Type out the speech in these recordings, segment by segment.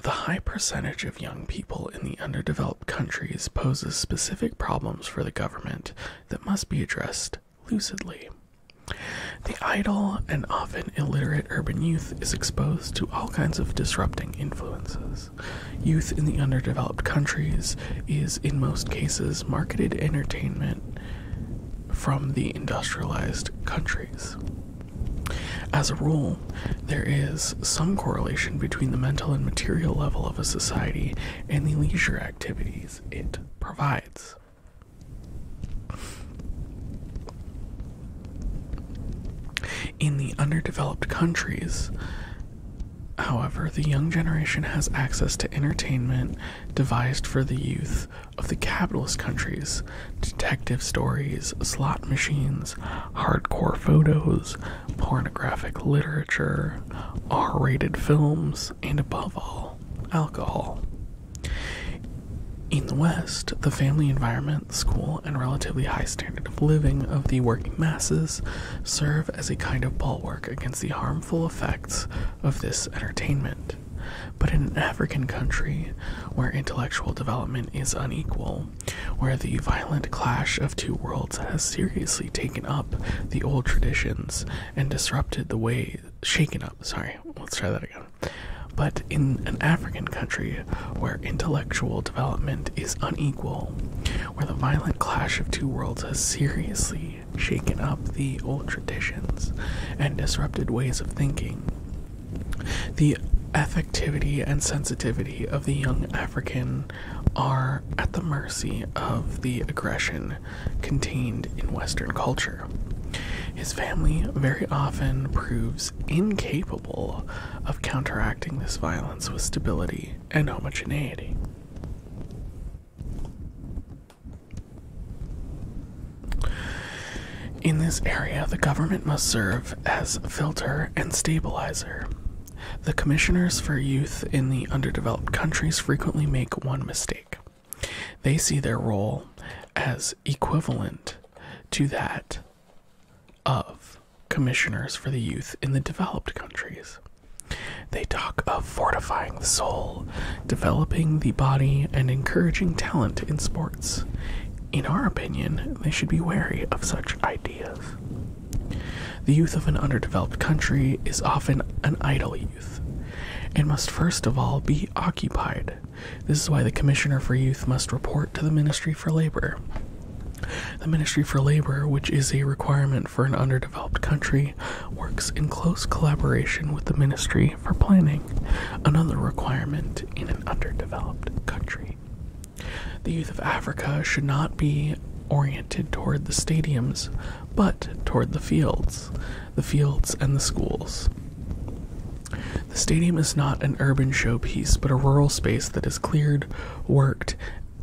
The high percentage of young people in the underdeveloped countries poses specific problems for the government that must be addressed lucidly. The idle and often illiterate urban youth is exposed to all kinds of disrupting influences. Youth in the underdeveloped countries is, in most cases, marketed entertainment from the industrialized countries. As a rule, there is some correlation between the mental and material level of a society and the leisure activities it provides. In the underdeveloped countries, however, the young generation has access to entertainment devised for the youth of the capitalist countries detective stories, slot machines, hardcore photos, pornographic literature, R rated films, and above all, alcohol. In the West, the family environment, school, and relatively high standard of living of the working masses serve as a kind of bulwark against the harmful effects of this entertainment. But in an African country where intellectual development is unequal, where the violent clash of two worlds has seriously taken up the old traditions and disrupted the ways shaken up. Sorry, let's try that again. But in an African country where intellectual development is unequal, where the violent clash of two worlds has seriously shaken up the old traditions and disrupted ways of thinking, the affectivity and sensitivity of the young African are at the mercy of the aggression contained in Western culture. His family very often proves incapable of counteracting this violence with stability and homogeneity. In this area, the government must serve as filter and stabilizer. The commissioners for youth in the underdeveloped countries frequently make one mistake. They see their role as equivalent to that of commissioners for the youth in the developed countries. They talk of fortifying the soul, developing the body, and encouraging talent in sports. In our opinion, they should be wary of such ideas. The youth of an underdeveloped country is often an idle youth and must first of all be occupied. This is why the Commissioner for Youth must report to the Ministry for Labor. The Ministry for Labor, which is a requirement for an underdeveloped country, works in close collaboration with the Ministry for Planning, another requirement in an underdeveloped country. The youth of Africa should not be oriented toward the stadiums, but toward the fields, the fields, and the schools. The stadium is not an urban showpiece, but a rural space that is cleared, worked,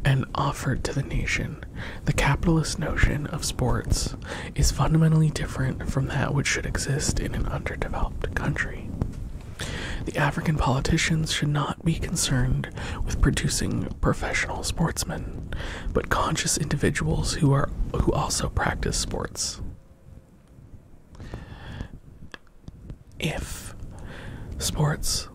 and offered to the nation. The capitalist notion of sports is fundamentally different from that which should exist in an underdeveloped country. The African politicians should not be concerned with producing professional sportsmen, but conscious individuals who are who also practice sports. If sports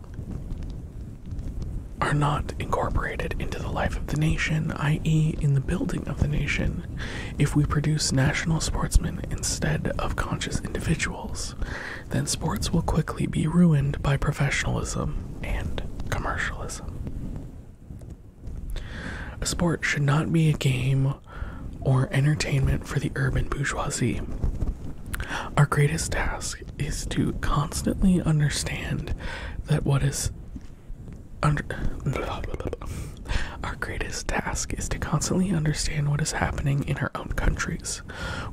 are not incorporated into the life of the nation, i.e., in the building of the nation, if we produce national sportsmen instead of conscious individuals, then sports will quickly be ruined by professionalism and commercialism. A sport should not be a game or entertainment for the urban bourgeoisie. Our greatest task is to constantly understand that what is Our greatest task is to constantly understand what is happening in our own countries.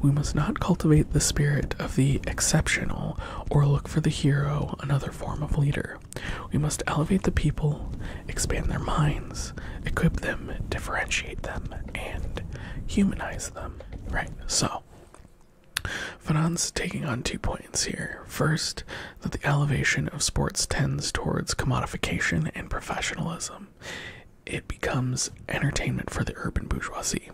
We must not cultivate the spirit of the exceptional or look for the hero, another form of leader. We must elevate the people, expand their minds, equip them, differentiate them, and humanize them. Right, so. Fanon's taking on two points here. First, that the elevation of sports tends towards commodification and professionalism. It becomes entertainment for the urban bourgeoisie.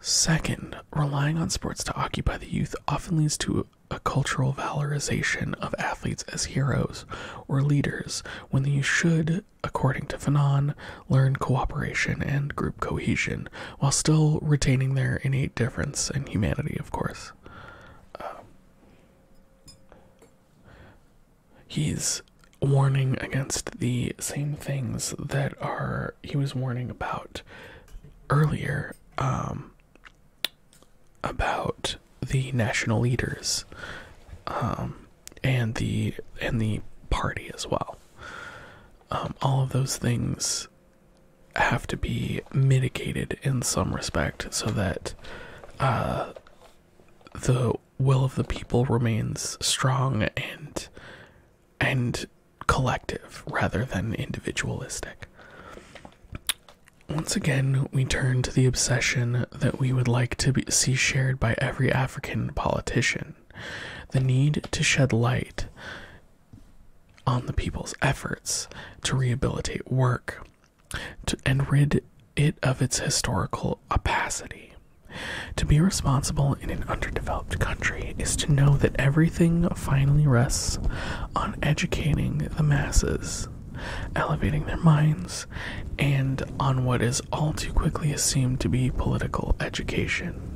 Second, relying on sports to occupy the youth often leads to a cultural valorization of athletes as heroes or leaders when they should, according to Fanon, learn cooperation and group cohesion while still retaining their innate difference and humanity, of course. Um, he's warning against the same things that are he was warning about earlier um, about the national leaders um, and the and the party as well. Um, all of those things have to be mitigated in some respect so that uh, the will of the people remains strong and and collective rather than individualistic. Once again, we turn to the obsession that we would like to see shared by every African politician the need to shed light on the people's efforts to rehabilitate work and rid it of its historical opacity. To be responsible in an underdeveloped country is to know that everything finally rests on educating the masses, elevating their minds, and on what is all too quickly assumed to be political education.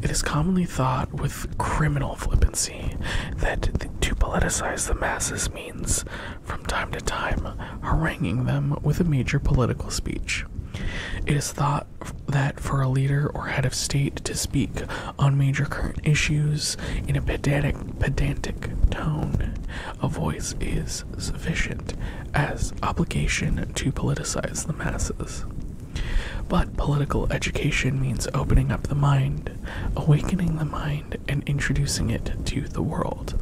It is commonly thought with criminal flippancy that to politicize the masses means, from time to time, haranguing them with a major political speech. It is thought that for a leader or head of state to speak on major current issues in a pedantic, pedantic tone a voice is sufficient as obligation to politicize the masses. But political education means opening up the mind, awakening the mind, and introducing it to the world.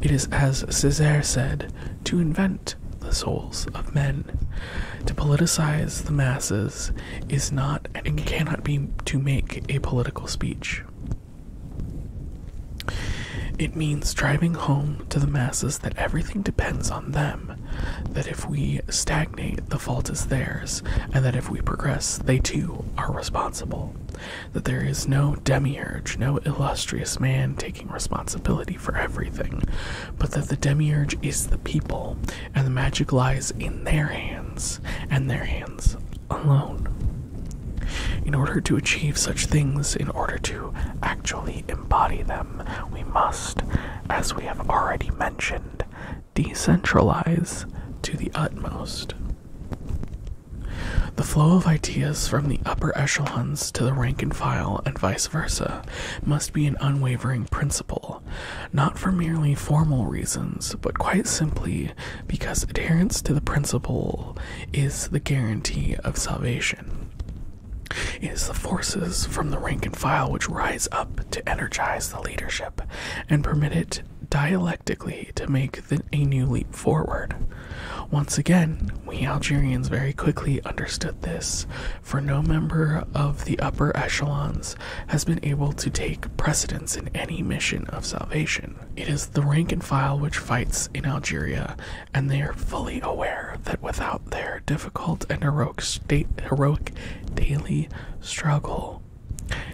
It is, as Caesar said, to invent the souls of men. To politicize the masses is not and cannot be to make a political speech. It means driving home to the masses that everything depends on them, that if we stagnate, the fault is theirs, and that if we progress, they too are responsible. That there is no demiurge, no illustrious man taking responsibility for everything, but that the demiurge is the people, and the magic lies in their hands, and their hands alone. In order to achieve such things, in order to actually embody them, we must, as we have already mentioned, decentralize to the utmost. The flow of ideas from the upper echelons to the rank and file, and vice versa, must be an unwavering principle, not for merely formal reasons, but quite simply because adherence to the principle is the guarantee of salvation. It is the forces from the rank and file which rise up to energize the leadership and permit it dialectically to make a new leap forward. Once again, we Algerians very quickly understood this for no member of the upper echelons has been able to take precedence in any mission of salvation. It is the rank and file which fights in Algeria, and they are fully aware that without their difficult and heroic, daily struggle,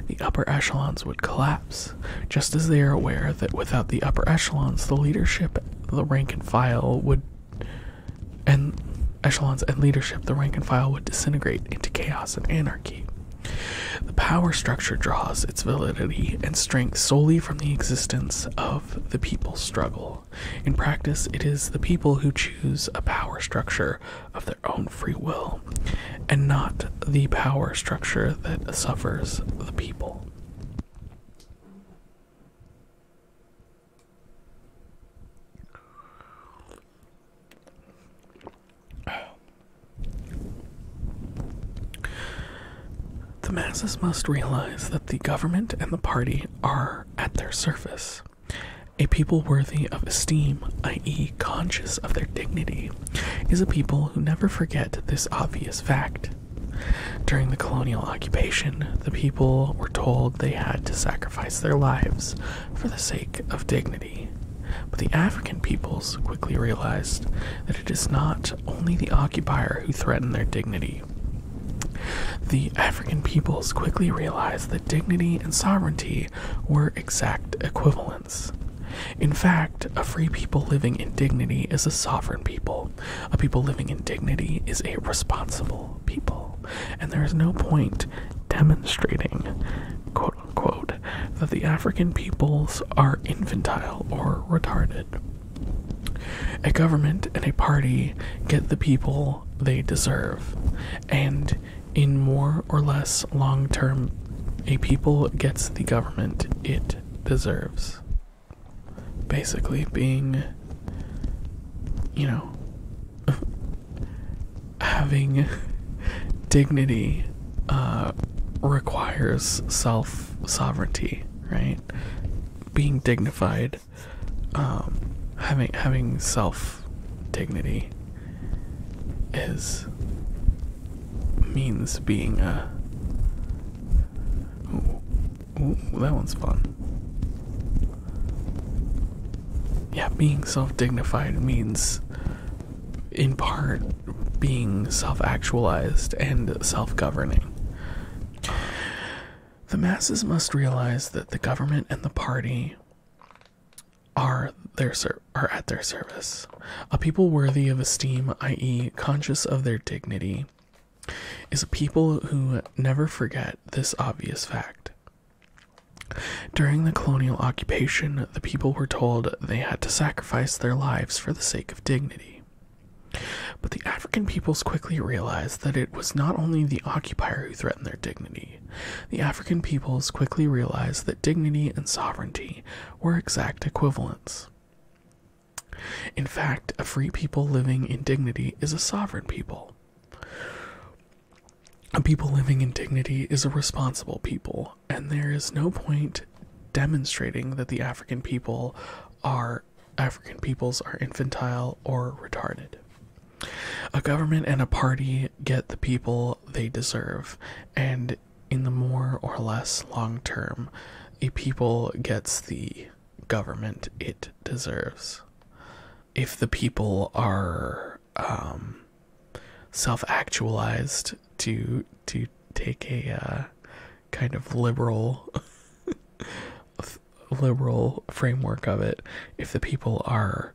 the upper echelons would collapse, just as they are aware that without the upper echelons, the leadership, the rank and file would and echelons and leadership, the rank and file would disintegrate into chaos and anarchy. The power structure draws its validity and strength solely from the existence of the people's struggle. In practice, it is the people who choose a power structure of their own free will, and not the power structure that suffers the people. The masses must realize that the government and the party are at their service. A people worthy of esteem, i.e., conscious of their dignity, is a people who never forget this obvious fact. During the colonial occupation, the people were told they had to sacrifice their lives for the sake of dignity. But the African peoples quickly realized that it is not only the occupier who threatened their dignity. The African peoples quickly realized that dignity and sovereignty were exact equivalents. In fact, a free people living in dignity is a sovereign people. A people living in dignity is a responsible people and there is no point demonstrating, quote unquote, that the African peoples are infantile or retarded. A government and a party get the people they deserve, and in more or less long term, a people gets the government it deserves. Basically, being you know, having dignity uh, requires self sovereignty, right? Being dignified, um, having having self dignity is means being a Ooh, that one's fun. Yeah, being self dignified means, in part, being self actualized and self governing. The masses must realize that the government and the party are their are at their service. A people worthy of esteem, i.e., conscious of their dignity, is a people who never forget this obvious fact. During the colonial occupation, the people were told they had to sacrifice their lives for the sake of dignity. But the African peoples quickly realized that it was not only the occupier who threatened their dignity, the African peoples quickly realized that dignity and sovereignty were exact equivalents. In fact, a free people living in dignity is a sovereign people. A people living in dignity is a responsible people, and there is no point demonstrating that the African people are African peoples are infantile or retarded. A government and a party get the people they deserve, and in the more or less long term, a people gets the government it deserves if the people are um, self-actualized to to take a uh, kind of liberal liberal framework of it if the people are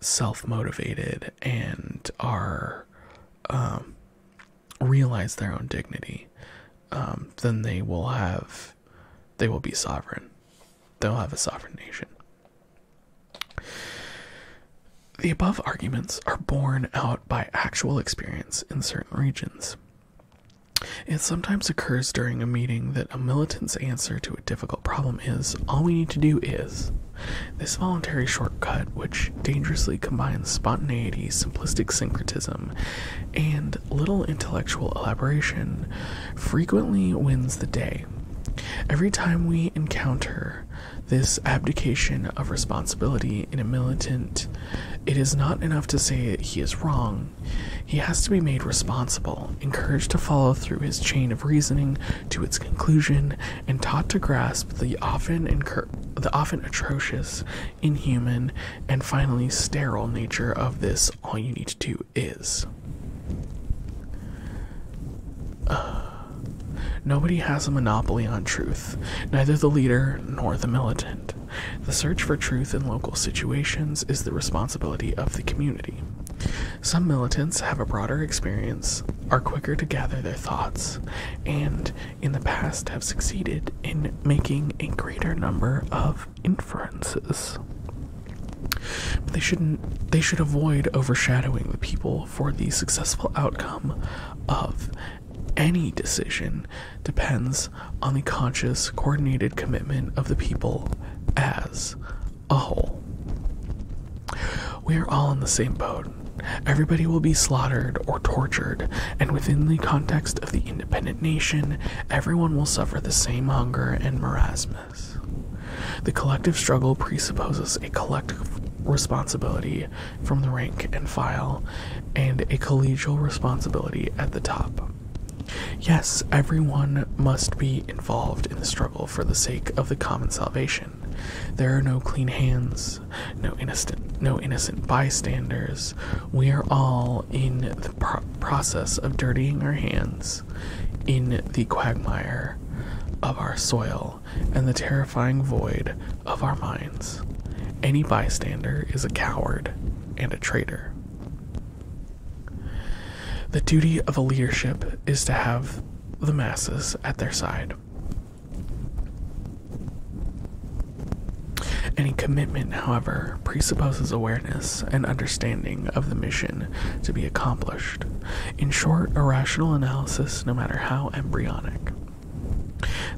self-motivated and are um, realize their own dignity um, then they will have they will be sovereign. They'll have a sovereign nation. The above arguments are borne out by actual experience in certain regions. It sometimes occurs during a meeting that a militant's answer to a difficult problem is all we need to do is. This voluntary shortcut, which dangerously combines spontaneity, simplistic syncretism, and little intellectual elaboration frequently wins the day. Every time we encounter this abdication of responsibility in a militant, it is not enough to say he is wrong. He has to be made responsible, encouraged to follow through his chain of reasoning to its conclusion, and taught to grasp the often the often atrocious, inhuman, and finally sterile nature of this all you need to do is. Uh, nobody has a monopoly on truth, neither the leader nor the militant. The search for truth in local situations is the responsibility of the community. Some militants have a broader experience, are quicker to gather their thoughts, and in the past have succeeded in making a greater number of inferences. they shouldn't they should avoid overshadowing the people for the successful outcome of any decision depends on the conscious coordinated commitment of the people as a whole. We are all in the same boat. Everybody will be slaughtered or tortured, and within the context of the independent nation, again, everyone will suffer the same hunger and marasmus. The collective struggle presupposes a collective responsibility from the rank and file and a collegial responsibility at the top. Yes, everyone must be involved in the struggle for the sake of the common salvation. There are no clean hands, no innocent, no innocent bystanders, we are all in the process of dirtying our hands in the quagmire of our soil and the terrifying void of our minds. Any bystander is a coward and a traitor. The duty of a leadership is to have the masses at their side. Any commitment, however, presupposes awareness and understanding of the mission to be accomplished. In short, a rational analysis, no matter how embryonic.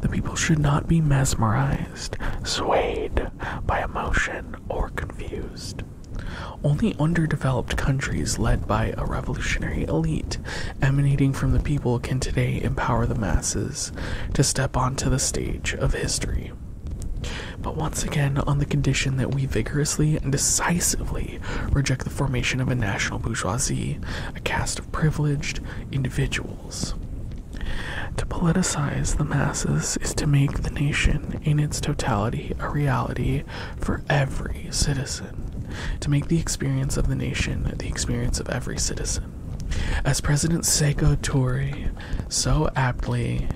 The people should not be mesmerized, swayed by emotion, or confused. Only underdeveloped countries led by a revolutionary elite emanating from the people can today empower the masses to step onto the stage of history. But once again, on the condition that we vigorously and decisively reject the formation of a national bourgeoisie, a caste of privileged individuals. To politicize the masses is to make the nation in its totality a reality for every citizen, to make the experience of the nation the experience of every citizen. As President Seiko Toure so aptly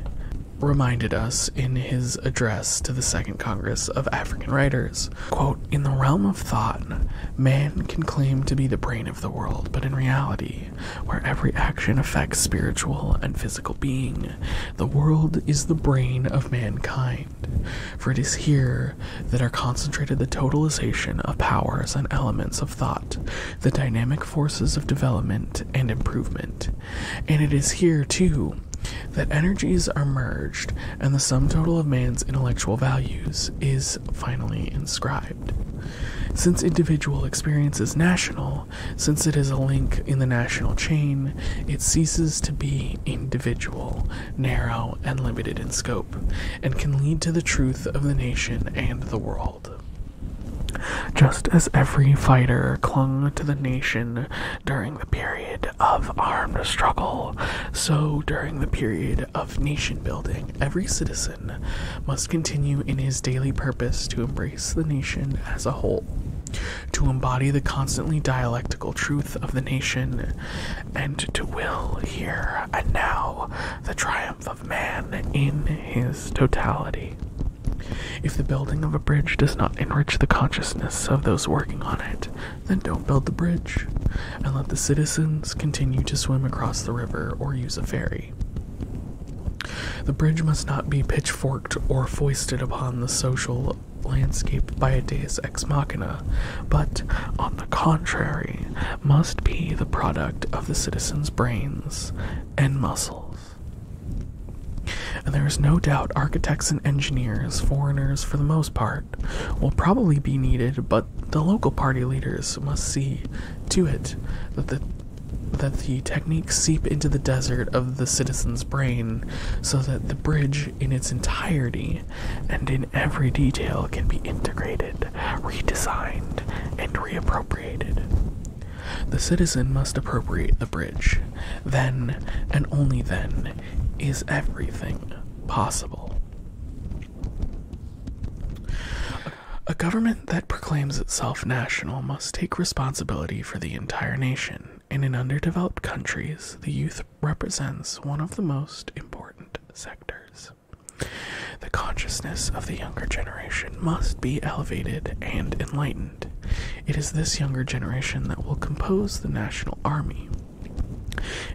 reminded us in his address to the Second Congress of African Writers. in the realm of thought, man can claim to be the brain of the world, but in reality, where every action affects spiritual and physical being, the world is the brain of mankind. For it is here that are concentrated the totalization of powers and elements of thought the dynamic forces of development and improvement. And it is here, too, that energies are merged and the sum total of man's intellectual values is finally inscribed. Since individual experience is national, since it is a link in the national chain, it ceases to be individual, narrow, and limited in scope, and can lead to the truth of the nation and the world. Just as every fighter clung to the nation during the period of armed struggle, so during the period of nation building, every citizen must continue in his daily purpose to embrace the nation as a whole, to embody the constantly dialectical truth of the nation, and to will here and now the triumph of man in his totality. If the building of a bridge does not enrich the consciousness of those working on it, then don't build the bridge, and let the citizens continue to swim across the river or use a ferry. The bridge must not be pitchforked or foisted upon the social landscape by a deus ex machina, but, on the contrary, must be the product of the citizens' brains and muscles. And there is no doubt architects and engineers, foreigners for the most part, will probably be needed, but the local party leaders must see to it that the that the techniques seep into the desert of the citizen's brain so that the bridge in its entirety and in every detail can be integrated, redesigned, and reappropriated. The citizen must appropriate the bridge. Then, and only then, is everything possible. A government that proclaims itself national must take responsibility for the entire nation, and in underdeveloped countries, the youth represents one of the most important sectors. The consciousness of the younger generation must be elevated and enlightened. It is this younger generation that will compose the national army.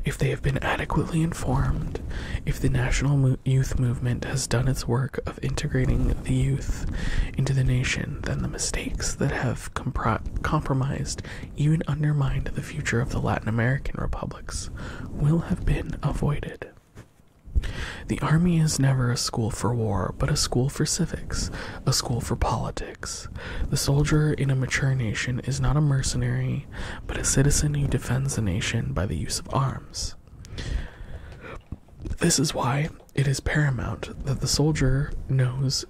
If they have been adequately informed, if the national youth movement has done its work of integrating the youth into the nation, then the mistakes that have compromised, even undermined the future of the Latin American republics will have been avoided. The Army is never a school for war, but a school for civics, a school for politics. The soldier in a mature nation is not a mercenary, but a citizen who defends the nation by the use of arms. This is why it is paramount that the soldier knows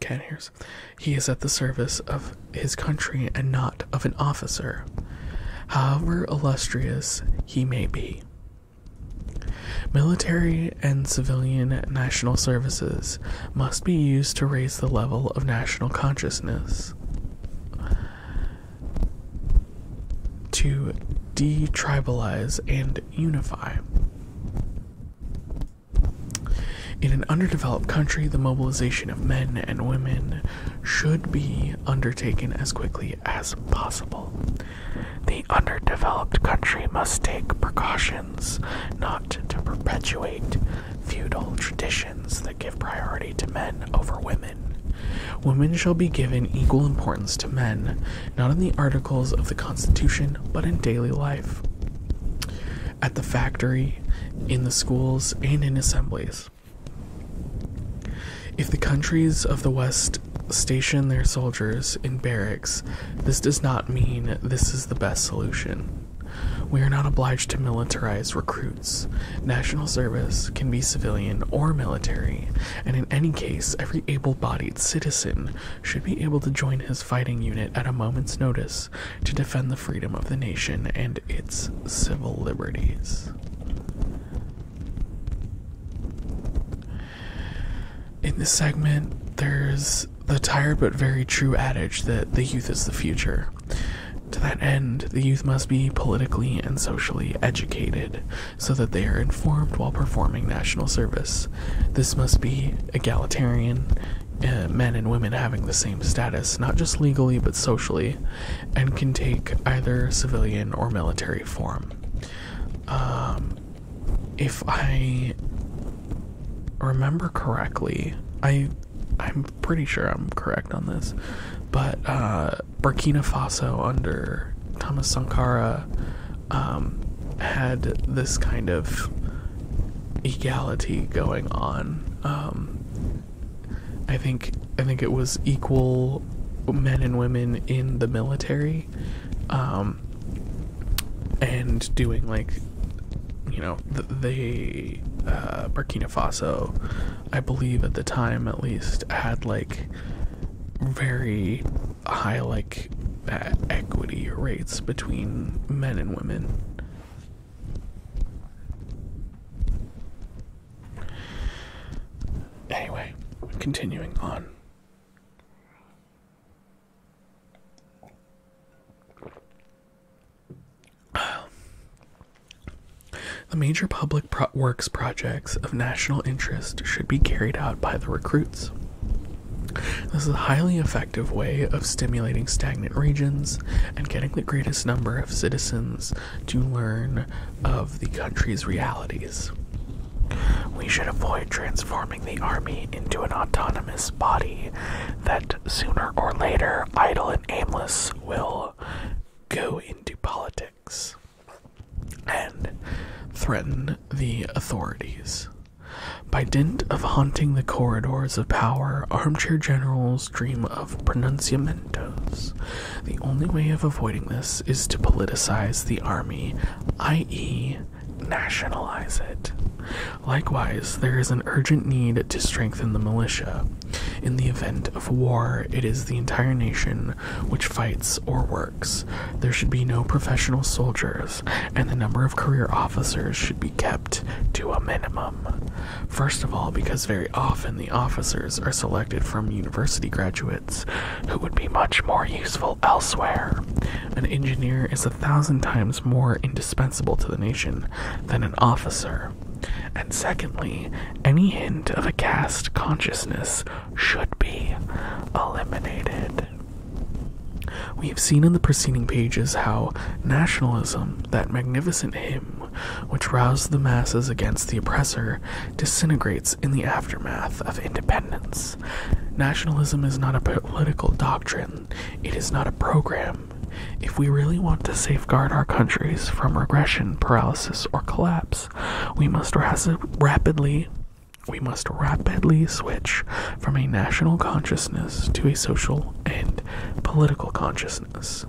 cat hairs. He is at the service of his country and not of an officer. However illustrious he may be, Military and civilian national services must be used to raise the level of national consciousness, to detribalize and unify. In an underdeveloped country, the mobilization of men and women should be undertaken as quickly as possible. The underdeveloped country must take precautions not to perpetuate feudal traditions that give priority to men over women. Women shall be given equal importance to men, not in the articles of the Constitution, but in daily life, at the factory, in the schools, and in assemblies. If the countries of the West station their soldiers in barracks, this does not mean this is the best solution. We are not obliged to militarize recruits. National service can be civilian or military, and in any case, every able bodied citizen should be able to join his fighting unit at a moment's notice to defend the freedom of the nation and its civil liberties. In this segment, there's the tired but very true adage that the youth is the future. To that end, the youth must be politically and socially educated so that they are informed while performing national service. This must be egalitarian, uh, men and women having the same status, not just legally but socially, and can take either civilian or military form. Um, if I remember correctly, I I'm pretty sure I'm correct on this, but uh, Burkina Faso under Thomas Sankara um, had this kind of equality going on. Um, I think I think it was equal men and women in the military, um, and doing like you know th they uh, Burkina Faso, I believe at the time at least had like very high like equity rates between men and women. Anyway, continuing on. The major public works projects of national interest should be carried out by the recruits. This is a highly effective way of stimulating stagnant regions and getting the greatest number of citizens to learn of the country's realities. We should avoid transforming the army into an autonomous body that sooner or later, idle and aimless, will go into politics and threaten the authorities. By dint of haunting the corridors of power, armchair generals dream of pronuncium the only way of avoiding this is to politicize the army, i.e., nationalize it. Likewise, there is an urgent need to strengthen the militia. In the event of war, it is the entire nation which fights or works. There should be no professional soldiers, and the number of career officers should be kept to a minimum. First of all, because very often the officers are selected from university graduates who would be much more useful elsewhere. An engineer is a thousand times more indispensable to the nation than an officer. And secondly, any hint of a caste consciousness should be eliminated. We have seen in the preceding pages how nationalism, that magnificent hymn which roused the masses against the oppressor, disintegrates in the aftermath of independence. Nationalism is not a political doctrine, it is not a program. If we really want to safeguard our countries from regression, paralysis, or collapse, we must rapidly we must rapidly switch from a national consciousness to a social and political consciousness.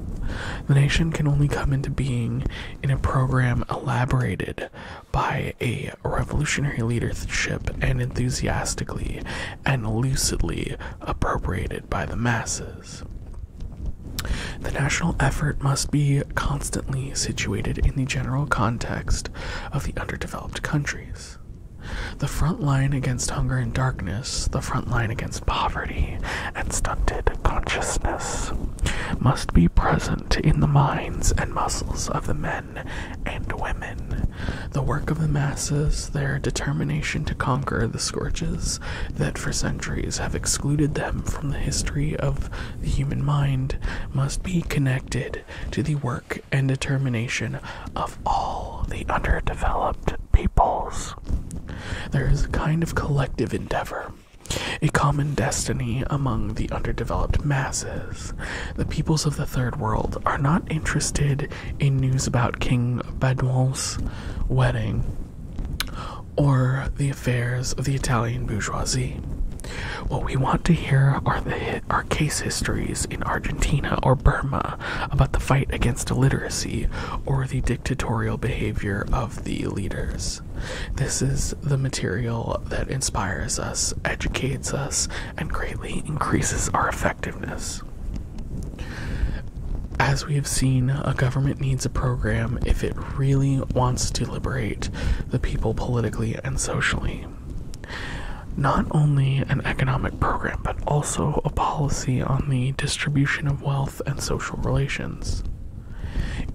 The nation can only come into being in a program elaborated by a revolutionary leadership and enthusiastically and lucidly appropriated by the masses. The national effort must be constantly situated in the general context of the underdeveloped countries. The front line against hunger and darkness, the front line against poverty and stunted consciousness must be present in the minds and muscles of the men and women. The work of the masses, their determination to conquer the scourges that for centuries have excluded them from the history of the human mind, must be connected to the work and determination of all the underdeveloped peoples. There is a kind of collective endeavor a common destiny among the underdeveloped masses. The peoples of the Third World are not interested in news about King Baudouin's wedding or the affairs of the Italian bourgeoisie. What we want to hear are the are case histories in Argentina or Burma about the fight against illiteracy or the dictatorial behavior of the leaders. This is the material that inspires us, educates us, and greatly increases our effectiveness. As we have seen, a government needs a program if it really wants to liberate the people politically and socially. Not only an economic program, but also a policy on the distribution of wealth and social relations.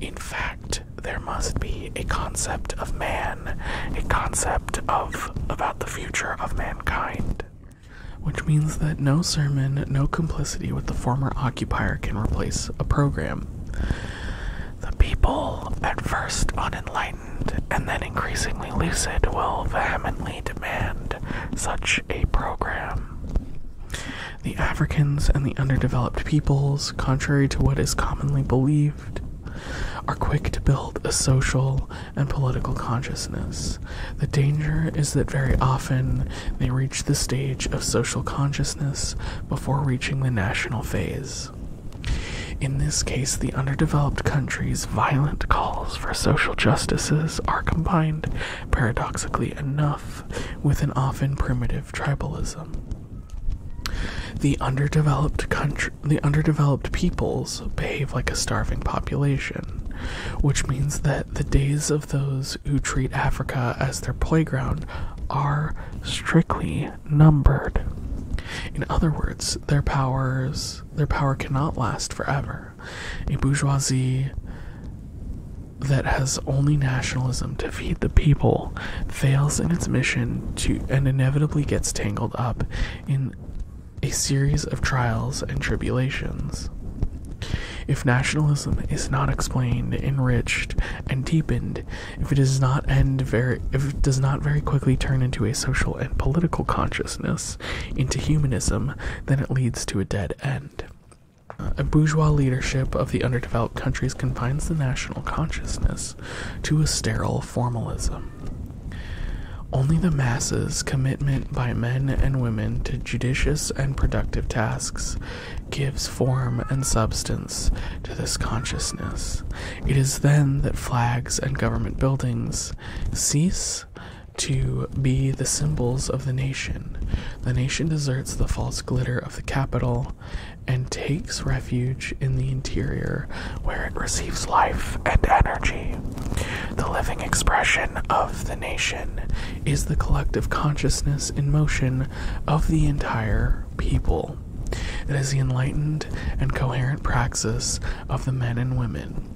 In fact, there must be a concept of man, a concept of about the future of mankind. Which means that no sermon, no complicity with the former occupier can replace a program. The people, at first unenlightened and then increasingly lucid, will vehemently demand such a program. The Africans and the underdeveloped peoples, contrary to what is commonly believed, are quick to build a social and political consciousness. The danger is that very often they reach the stage of social consciousness before reaching the national phase. In this case, the underdeveloped countries' violent calls for social justices are combined, paradoxically enough, with an often primitive tribalism. The underdeveloped country, the underdeveloped peoples behave like a starving population, which means that the days of those who treat Africa as their playground are strictly numbered. In other words, their powers their power cannot last forever. A bourgeoisie that has only nationalism to feed the people fails in its mission to and inevitably gets tangled up in a series of trials and tribulations. If nationalism is not explained, enriched, and deepened, if it does not end very if it does not very quickly turn into a social and political consciousness, into humanism, then it leads to a dead end. A bourgeois leadership of the underdeveloped countries confines the national consciousness to a sterile formalism. Only the masses' commitment by men and women to judicious and productive tasks gives form and substance to this consciousness. It is then that flags and government buildings cease to be the symbols of the nation the nation deserts the false glitter of the capital and takes refuge in the interior where it receives life and energy. The living expression of the nation is the collective consciousness in motion of the entire people. It is the enlightened and coherent praxis of the men and women.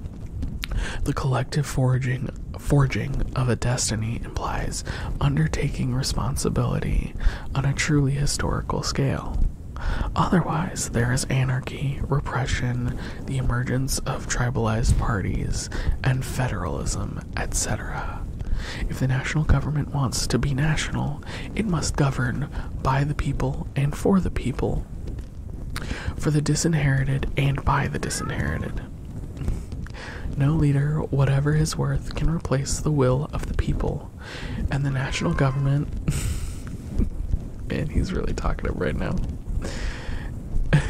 The collective foraging forging of a destiny implies undertaking responsibility on a truly historical scale. Otherwise, there is anarchy, repression, the emergence of tribalized parties, and federalism, etc. If the national government wants to be national, it must govern by the people and for the people, for the disinherited and by the disinherited. No leader, whatever his worth, can replace the will of the people. And the national government. Man, he's really talkative right now.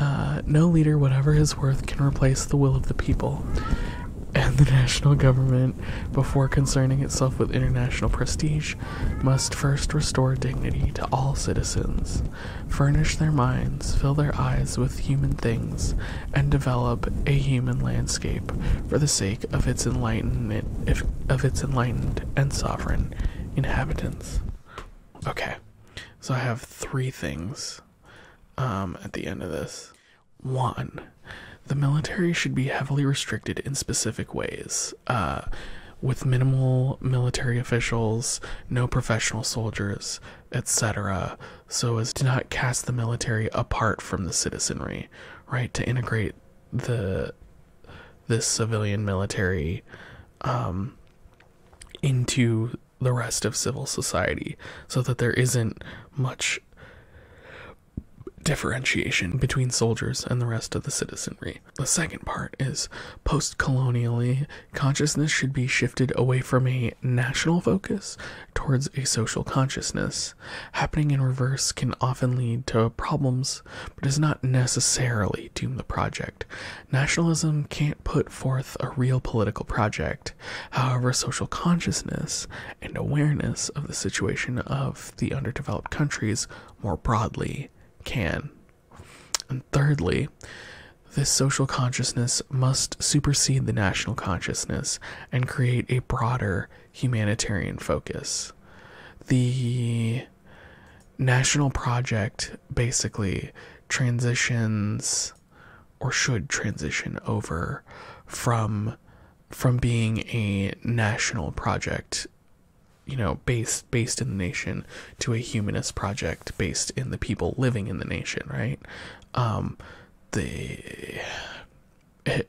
Uh, no leader, whatever his worth, can replace the will of the people and the national government, before concerning itself with international prestige, must first restore dignity to all citizens furnish their minds, fill their eyes with human things, and develop a human landscape for the sake of its enlightenment of its enlightened and sovereign inhabitants. Okay. So I have three things um, at the end of this. One, the military should be heavily restricted in specific ways, uh, with minimal military officials, no professional soldiers, etc., so as to not cast the military apart from the citizenry, right? To integrate the this civilian military um, into the rest of civil society, so that there isn't much differentiation between soldiers and the rest of the citizenry. The second part is post colonially consciousness should be shifted away from a national focus towards a social consciousness. Happening in reverse can often lead to problems, but does not necessarily doom the project. Nationalism can't put forth a real political project. However, social consciousness and awareness of the situation of the underdeveloped countries more broadly can. And thirdly, this social consciousness must supersede the national consciousness and create a broader humanitarian focus. The national project basically transitions or should transition over from from being a national project you know based based in the nation to a humanist project based in the people living in the nation, right? Um, the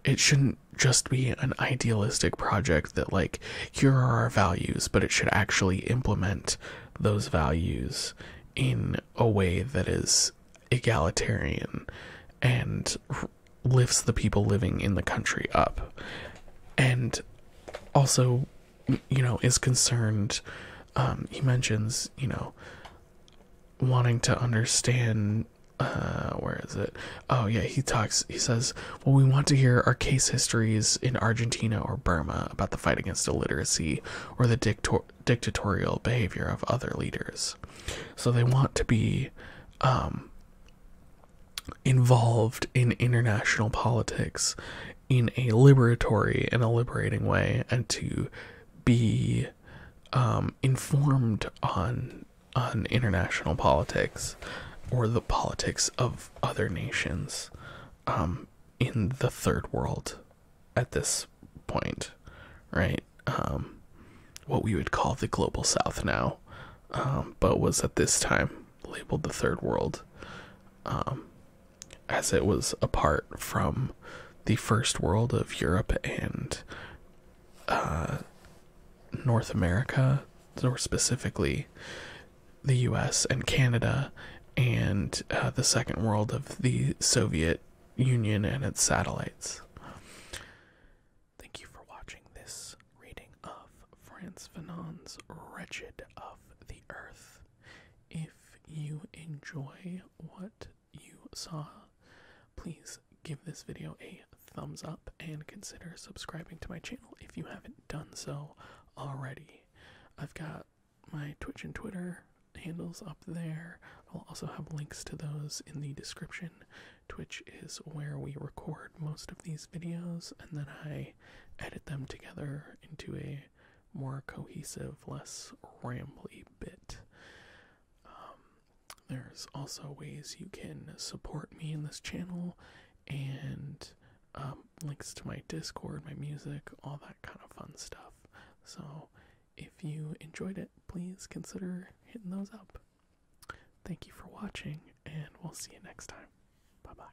it shouldn't just be an idealistic project that like here are our values, but it should actually implement those values in a way that is egalitarian and lifts the people living in the country up. And also you know, is concerned. Um, he mentions, you know, wanting to understand. Uh, where is it? Oh, yeah, he talks. He says, Well, we want to hear our case histories in Argentina or Burma about the fight against illiteracy or the dictatorial behavior of other leaders. So they want to be um, involved in international politics in a liberatory and a liberating way and to be um, informed on on international politics or the politics of other nations um, in the third world at this point, right? Um, what we would call the global south now, but was at this time labeled the third world as it was apart from the first world of Europe and uh, North America, or specifically the US and Canada, and uh, the second world of the Soviet Union and its satellites. Thank you for watching this reading of Franz Fanon's Wretched of the Earth. If you enjoy what you saw, please give this video a thumbs up and consider subscribing to my channel if you haven't done so already. I've got my Twitch and Twitter handles up there. I'll also have links to those in the description. Twitch is where we record most of these videos and then I edit them together into a more cohesive, less rambly bit. Um, there's also ways you can support me in this channel and um, links to my Discord, my music, all that kind of fun stuff. So if you enjoyed it, please consider hitting those up. Thank you for watching, and we'll see you next time. Bye bye.